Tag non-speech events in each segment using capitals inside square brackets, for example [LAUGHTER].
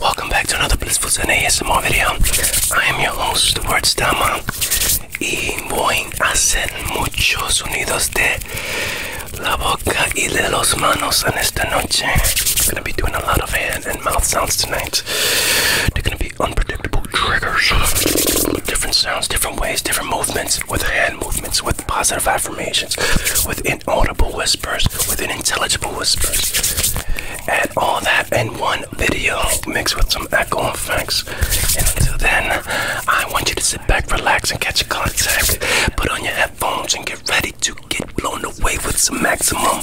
Welcome back to another Blissful Zen ASMR video. I am your host, Words Dama. Y voy a I'm gonna be doing a lot of hand and mouth sounds tonight. They're gonna be unpredictable triggers. Different sounds, different ways, different movements with hand movements, with positive affirmations, with inaudible whispers, with intelligible whispers. Add all that and one video, mixed with some echo effects. And until then, I want you to sit back, relax, and catch a contact. Put on your headphones and get ready to get blown away with some maximum.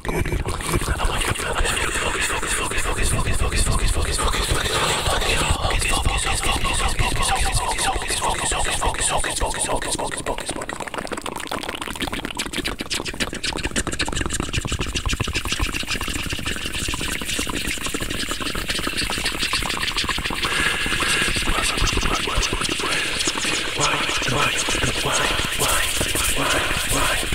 good, good, good, good. I want you to focus, focus, focus, focus, focus, focus, focus, focus, focus, focus, focus. Why? Why? Why? Why? Why? Why?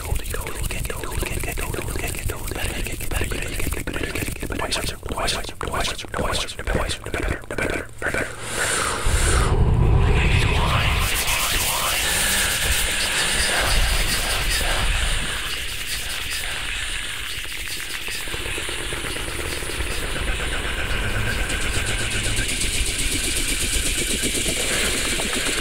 get old, you get old, you get old, you get old, you get old, you get better, you get get better, you get better, wiser, the wiser, the wiser, the wiser, the wiser, the better, the better, the better.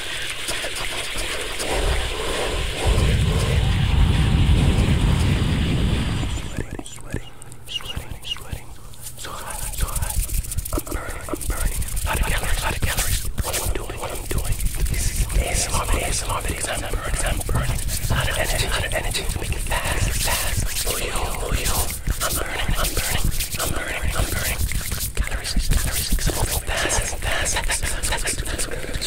Sweating, sweating, sweating, sweating. So hot, so hot. I'm burning, I'm burning. A lot of calories, a lot of calories. What I'm doing, what I'm doing. This is ASMR videos, ASMR videos. I'm burning, I'm burning. A lot of energy, a lot of energy. Make it fast, fast. Oh yo, oh yo. I'm burning, I'm burning, I'm burning, I'm burning. Calories, calories. Something fast, fast, fast, fast, fast, fast.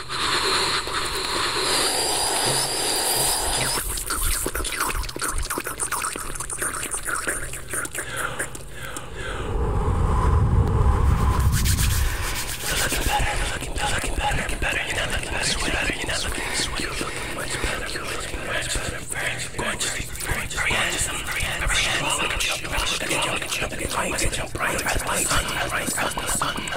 You're looking better. You're looking better. You're looking better. You're looking better. You're not looking better. You're better. You're not looking sweaty. You're looking much better. You're looking much better. Very gorgeous. Very, very handsome. Very handsome. Look at your look at your look at your look at your bright bright bright bright bright bright bright bright bright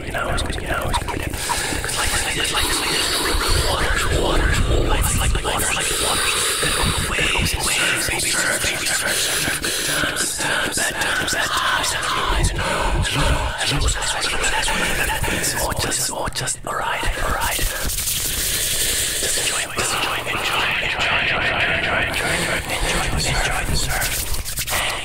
million hours, million hours, million hours. Because like like this, like this, like this, waters, waters, life, like waters, like waters, waves, waves, baby, surf, baby, surf, surf, good times, times, bad times, bad times, highs and lows, lows, lows, lows, lows, lows, or just, or just, alright, alright. Just enjoy, just enjoy, enjoy, enjoy, enjoy, enjoy, enjoy, enjoy, enjoy, enjoy the surf.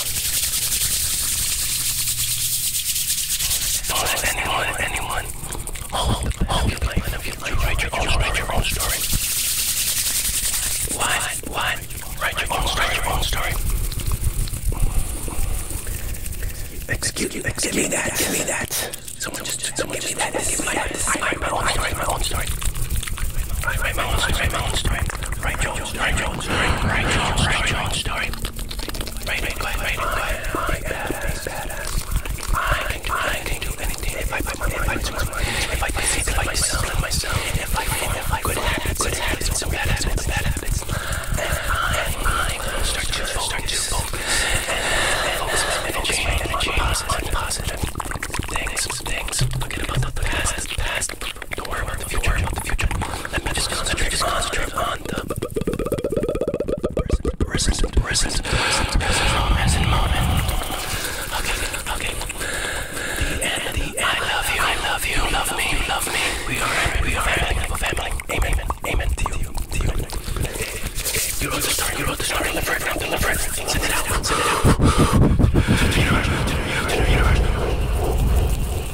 out. More than anyone, more than anyone. Hold, hold the plan of your life. You write your own, write your own story. What, what? Write your own, write your own story. Excuse me, give me that, give me that. Someone just, someone give me that. Give me that. I write my own story. I write my own story. I write my own story. Write your story, Jones story, Ray Jones story, Jones story. Ray McQuaid, I'm badass, badass. I can do, I can do anything if I put my mind to it. If I think of myself, myself, and if I form good habits, good habits, some bad habits, bad habits. And I, I will start to start to focus and focus and change and change on positive things, things. Forget about the past, past. Don't worry about the future, the future. Let me just concentrate, just concentrate on the present, present, present, present, present moment. Okay, okay. The end, I love you, I love you, love me, love me. We are, we are family. Amen, amen to you, to you. You wrote the story, you wrote the story. Deliver it, deliver it. Send it out, send it out. To the universe, to the universe, to the universe.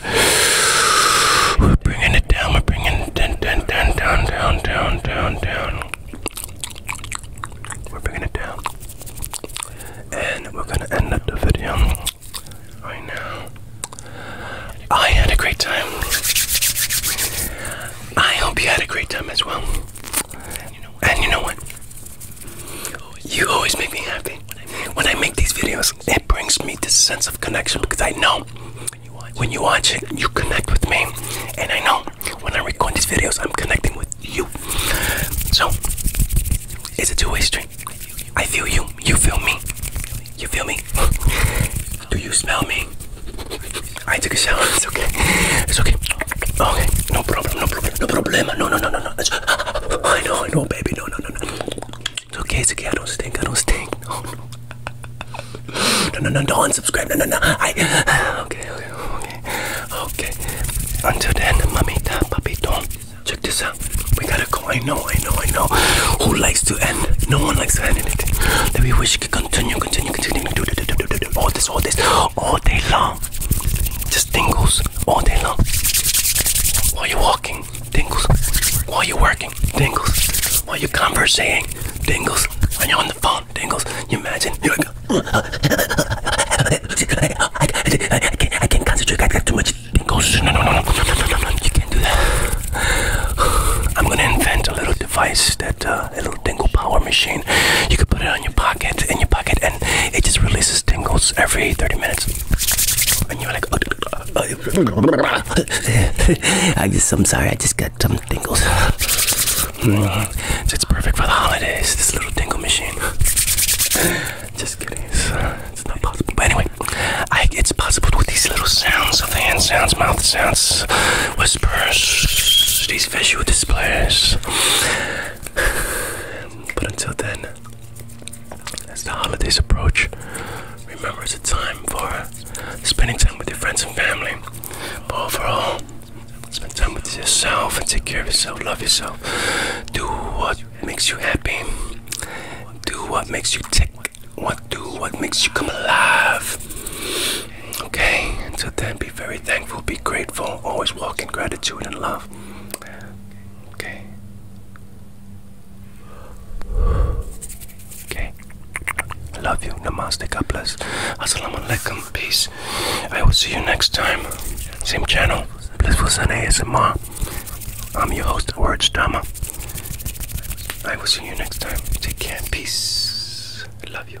just we're bringing it down. We're bringing it down, down, down, down, down, down, down, down. We're bringing it down, and we're gonna end up the video right now. I had a great time. I hope you had a great time as well. And you know what? You always make me happy. When I make these videos, it brings me this sense of connection because I know when you, watch when you watch it, you connect with me. And I know when I record these videos, I'm connecting with you. So, it's a two-way street. I feel you. You feel me. You feel me? [LAUGHS] Do you smell me? I took a shower. It's okay. It's okay. Okay. No problem. No problem. No problem. No, no, no, no, no. [LAUGHS] I know. I know, baby. No, no, no, no. It's okay, it's okay. I don't stink. I don't stink. No, [LAUGHS] oh, no. No, no, no, don't unsubscribe. No, no, no. I. [SIGHS] Okay, okay, okay. Okay. Until then, mamita, papito. Check this out. We gotta go. I know, I know, I know. Who likes to end? No one likes to end anything. That we wish could continue, continue, continue. Do, do, do, do, do, do. All this, all this. All day long. Just tingles. All day long. While you're walking, tingles. While you're working saying tingles while you conversating tingles when you're on the phone tingles you imagine you're like I, I, I, can't, I can't concentrate I got too much tingles no no no no you can't do that I'm gonna invent a little device that uh, a little tingle power machine you could put it on your pocket in your pocket and it just releases tingles every 30 minutes and you're like uh, uh, uh [LAUGHS] I just, I'm sorry, I just got some tingles. It's perfect for the holidays, this little tingle machine. Just kidding, it's, uh, not possible. But anyway, it's possible with these little sounds of the hand sounds, mouth sounds, whispers, these visual displays. But until then, as the holidays approach, remember it's a time for spending time with your friends and family. But overall, spend time with yourself and take care of yourself, love yourself. Do what makes you happy. Do what makes you tick. What do what makes you come alive. Okay, until then be very thankful, be grateful, always walk in gratitude and love. Okay. Okay. I love you. Namaste. God bless. Assalamu alaikum. Peace. I will see you next time. Same channel. Blissful Sun ASMR. I'm your host, Words Drama. I will see you next time. Take care. Peace. I love you.